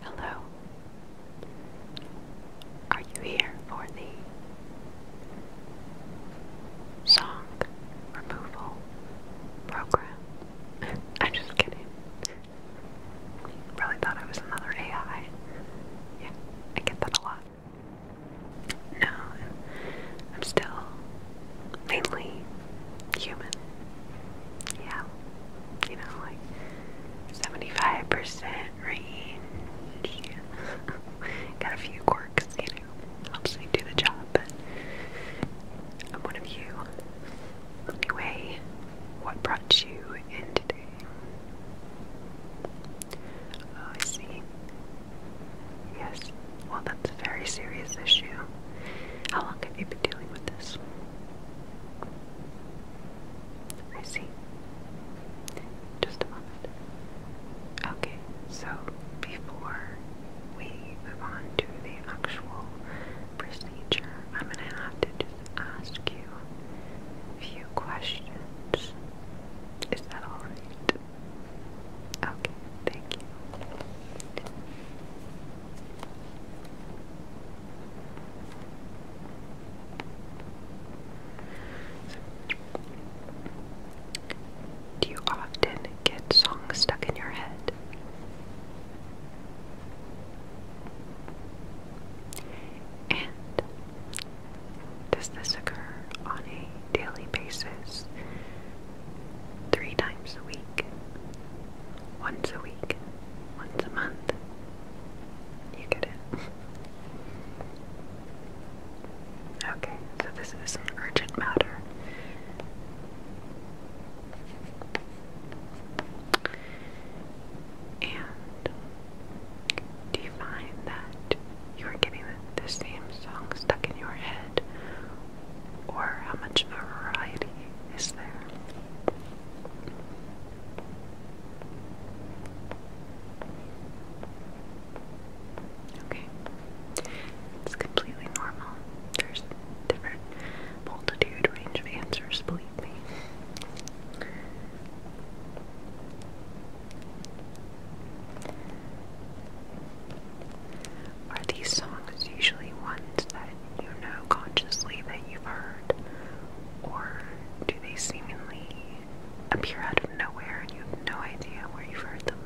Hello. Are you here for the song removal program? I'm just kidding. Really thought I was another AI. Yeah, I get that a lot. No, I'm still mainly human. Yeah, you know, like 75% right? Yeah. Got a few quirks, you know, helps me do the job, I'm one of you. Anyway, what brought you in today? Oh, I see. Yes, well, that's a very serious issue. How long have you been dealing with this? I see. Just a moment. Okay, so before we move on to the actual procedure, I'm going to have to just ask you a few questions. Is that alright? Okay, thank you. do you often get songs stuck in your head? And does this occur on a daily basis? Three times a week? Once a week? Once a month? You get it. Okay, so this is an urgent matter. And do you find that you are getting the, same song stuck in your head? Or how much variety is there? Okay. It's completely normal. There's different multitude range of answers, believe me. Are these songs usually ones that you know consciously that you've heard, or do they seemingly appear out of nowhere and you have no idea where you've heard them?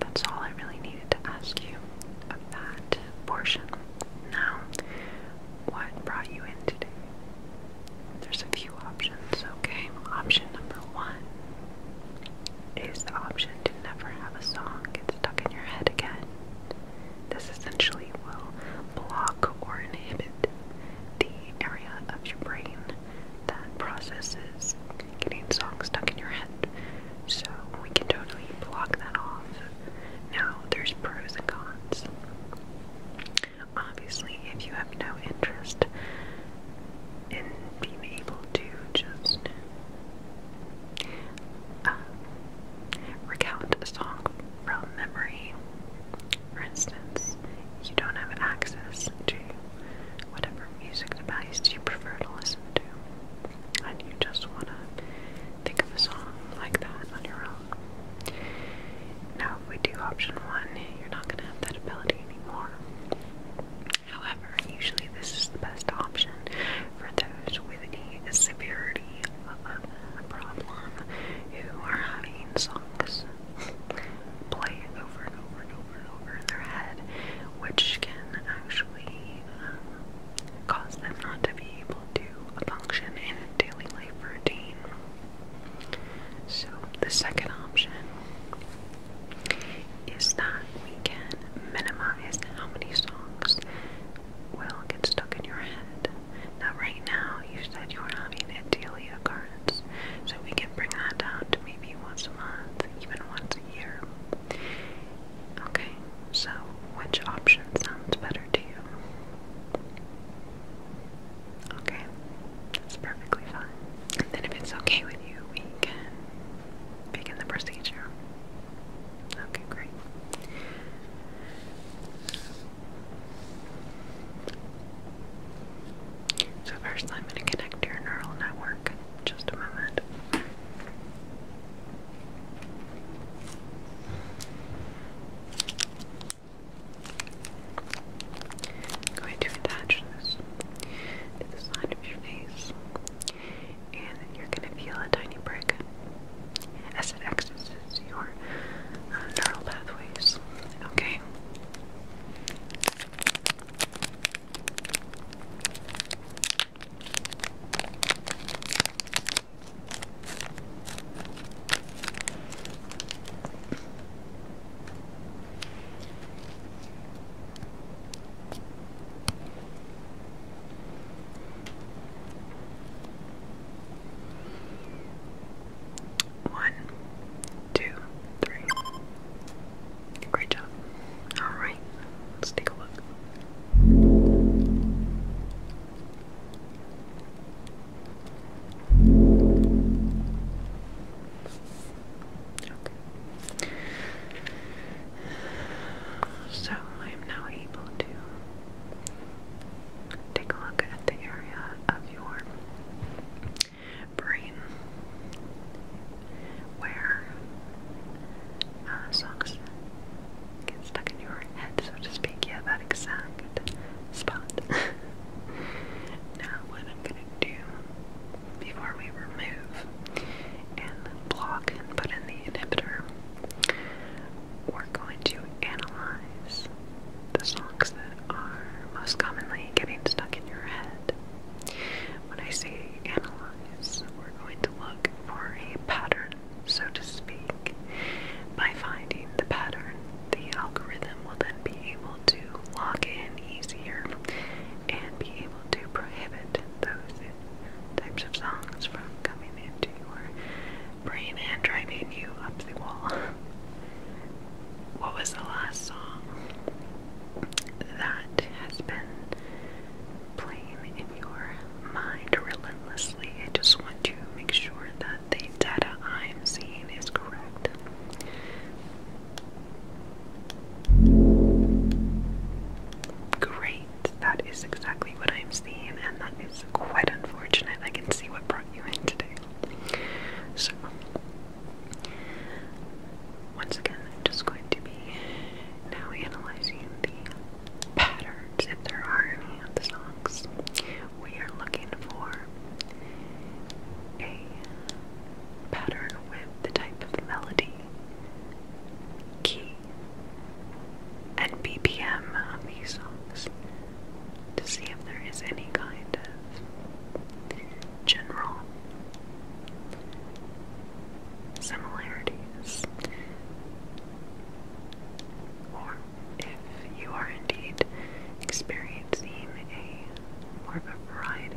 That's all I really needed to ask you about that portion. Now, what brought you in today? There's a few options, okay? Option number one is the option to never have a song get stuck in your head again. This essentially will block or inhibit the area of your brain that processes getting songs stuck in your head. So we can totally block that off. Now, there's pros and cons. Obviously, if you have no interest in being able to just um, recount a song from memory. For instance, you don't have access to whatever music device you prefer to listen to, and you just want to think of a song like that on your own. Now, if we do option one, you're not going to have that ability anymore. However, usually this is the best option for those with a severity of problem who are having songs playing over and over and over and over in their head, which can actually um, cause them not to be able to function in daily life routine. So, the second option is that we can minimize how many songs will get stuck in your head. Now, right now, you said you were having a daily occurrence, so we can bring that down to maybe once a month, even once a year. Okay, so which option sounds better to you? Okay, that's perfectly fine. And then, if it's okay with you, we can begin the procedure. Okay, great. So, first, I'm going to connect your neural network. Just a moment. I'm going to attach this to the side of your face and you're going to feel a tiny break as it accesses your uh, neural pathways. Okay. One, two, three. Great job. Alright, let's take a look. Okay. So I am now able to Take a look at the area of your brain where uh, get stuck in your head, so to speak. Yeah, that exact spot. now, what I'm gonna do before we remove and block and put in the inhibitor, we're going to analyze the songs that are most commonly getting stuck in your head. When I say analyze, we're going to look for a pattern, so to speak. By finding the pattern, the algorithm will then be able to log in easier and be able to prohibit those types of songs from coming into your brain and driving you up the wall. What was the last song that has been playing in your mind relentlessly? I just want to make sure that the data I'm seeing is correct. Great. That is exactly what I'm seeing, and that is quite unfortunate. I can see what brought you in today. So, once again, I'm just going to be now analyzing the patterns, if there are any of the songs. We are looking for a pattern with the type of melody, key, and BPM of these songs to see if there is any kind of general similarities, or if you are indeed experiencing a more of a variety.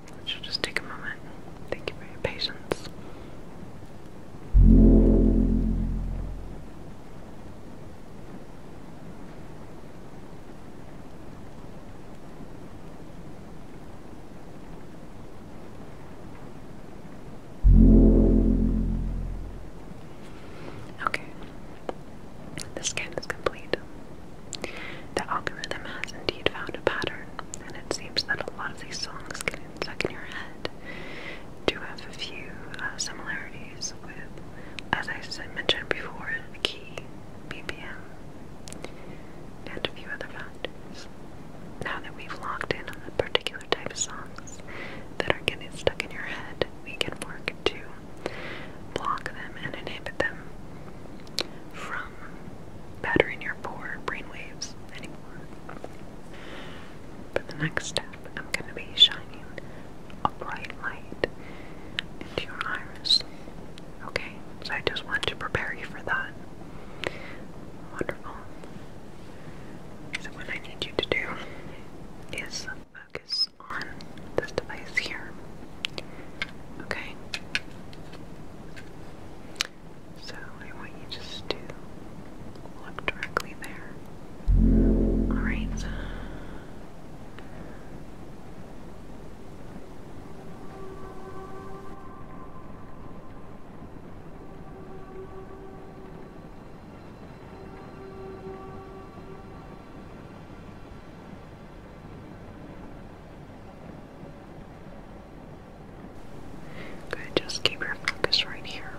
Which will just take a moment. Thank you for your patience. Okay, the scan is complete. The algorithm has indeed found a pattern, and it seems that a lot of these songs stuck in your head do have a few uh, similarities with, as I said, mentioned before, key, BPM, and a few other factors. Now that we've locked in on the particular type of songs that are getting stuck in your head, we can work to block them and inhibit them from from battering your poor brainwaves anymore. the next step, I'm going to be shining a bright light into your iris. Okay, so I just want to prepare you for that. Wonderful. So, what I need you to do is focus on this device here. Okay? So I want you just to look directly there. Alright. Okay, just keep your focus right here.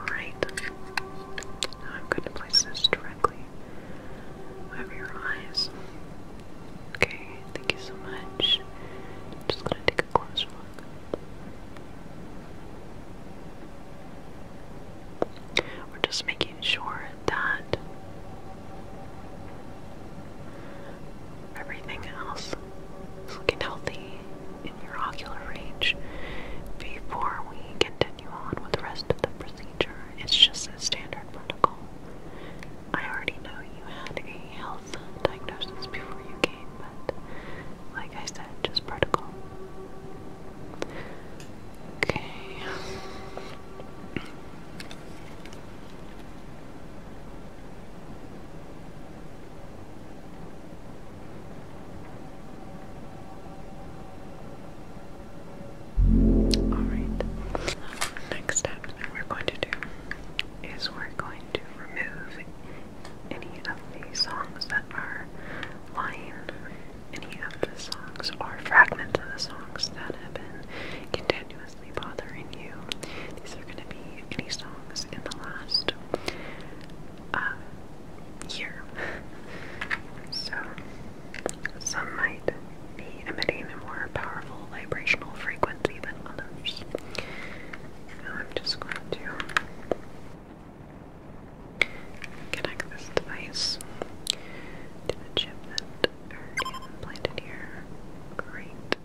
Alright, now I'm going to place this directly over your eyes. Okay, thank you so much. I'm just gonna take a closer look. We're just making sure that everything else is looking healthy in your ocular range before we continue on with the rest of the procedure. It's just standard protocol. I already know you had a health diagnosis before you came, but like I said, just protocol. Okay. All right. Next step, we're going to do is we're going to remove any of the songs that are lying, any of the songs or fragments of the songs that have been continuously bothering you. These are going to be any songs in the last uh, year. So, some might be emitting a more powerful vibrational frequency than others. Now I'm just going to connect this device to the chip that already implanted here. Great.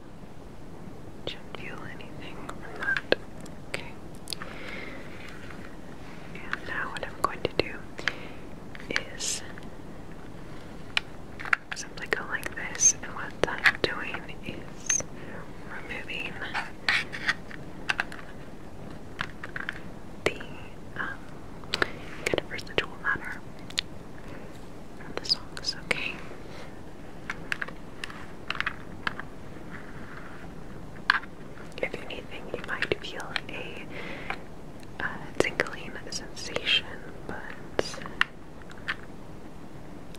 should feel anything from that. Okay. And now what I'm going to do is simply go like this, and what I'm doing is removing the um, kind of residual matter from the songs, okay? If anything, you might feel a uh, tingling sensation, but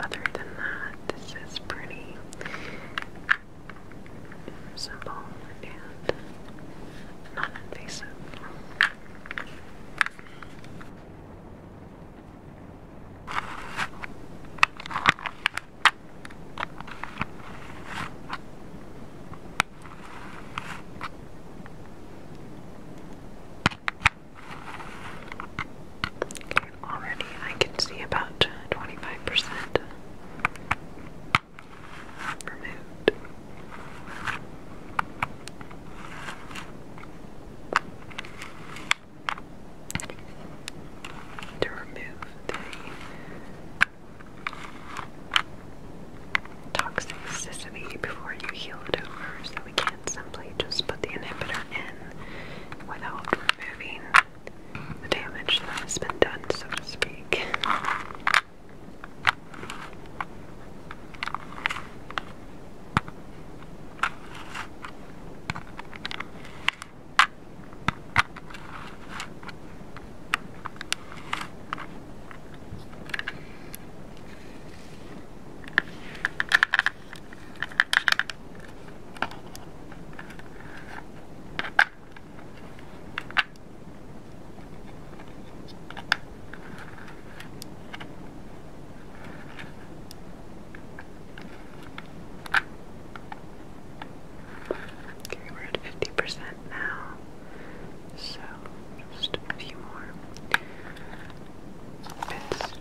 other than that, this is pretty simple and non invasive already I can see about 25% removed. To remove toxicity before you heal it over, so we can't simply just put the inhibitor in without removing the damage that has been done, so to speak. Okay, we're at 50% now. So just a few more bits to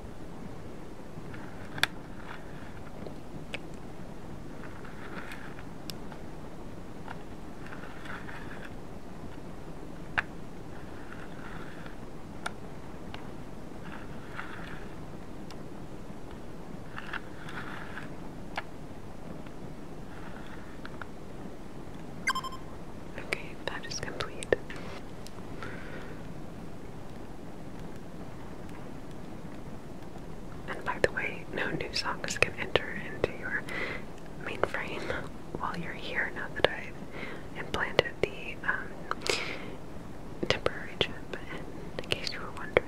Okay, that is complete. And by the way, no new songs can enter into your mainframe while you're here now that I've implanted the um, temporary chip, in case you were wondering.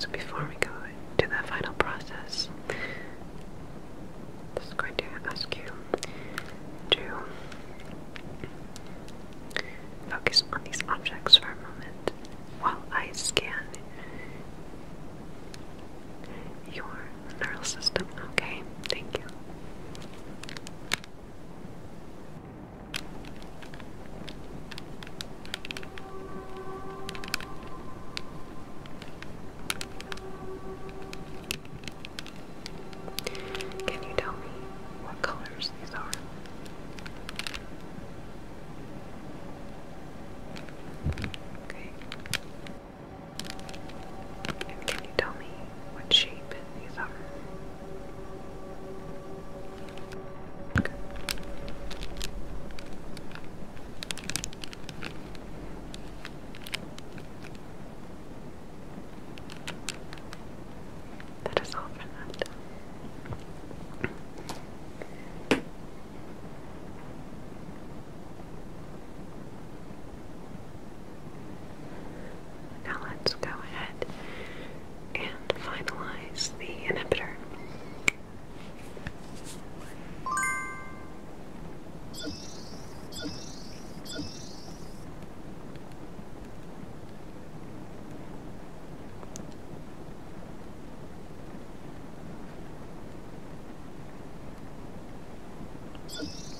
So before we go to the final process, I'm just going to ask you to focus on these objects for a moment while I scan your neural system. Okay, thank you. Can you tell me what colors these are? Okay can you tell me what shape these are? That is all for that. Now let's go ahead and finalize the inhibitor.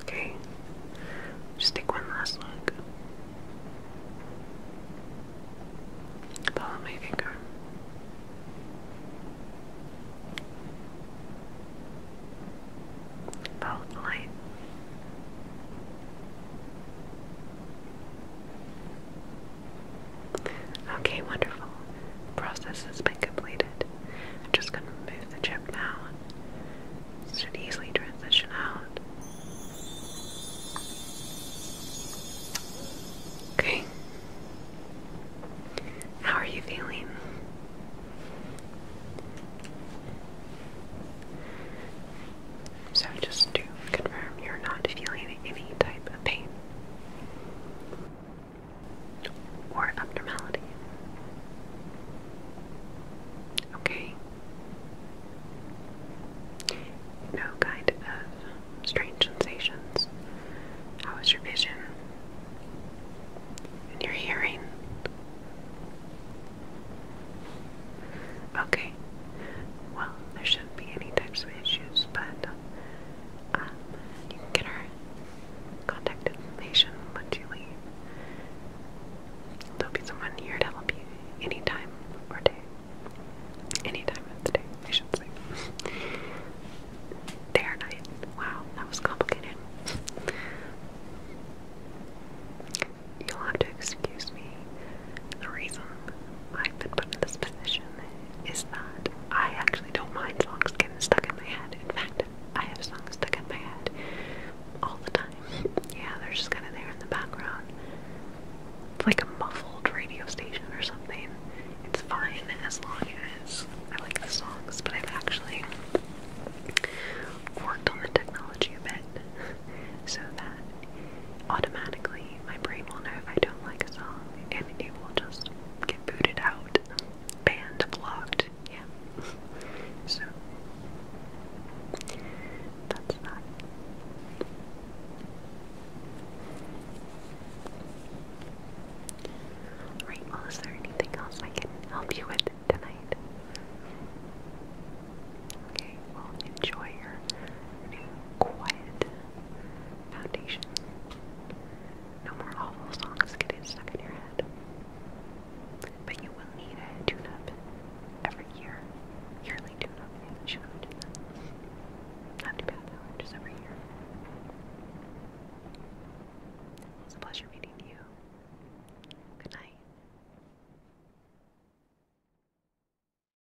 Okay, just take one last look. Follow my finger. Follow the light. Okay, wonderful. Process has been completed. I'm just going to remove the chip now. It should easily transition out. Okay. How are you feeling? So, just to confirm, you're not feeling any type pain or abnormality. Okay? No kind of strange sensations. How is your vision? And your hearing? Okay. Well, there should shouldn't be any types of issues, but um, you can get her contact information once you leave. There'll be someone here to help you anytime time or day. anytime of the day, I should say. day or night. Wow, that was complicated. You'll have to excuse me the reason I've been put in this position is that I actually don't mind songs getting stuck in my head. In fact, I have songs stuck in my head all the time. Yeah, they're just kind of there in the background. It's like a muffled radio station or something. It's fine as long as I like the songs, but I've actually worked on the technology a bit so that automatically my brain will know if I don't like a song and it will just get booted out, banned, blocked. Yeah. so that's that. Right, well, is there anything else I can help you with tonight? Okay, well, enjoy your new quiet foundation. No more awful songs getting stuck in your head. But you will need a tune up every year. Yearly tune up, yeah, sure, do that. Not too every year. It was a pleasure meeting you. Good night.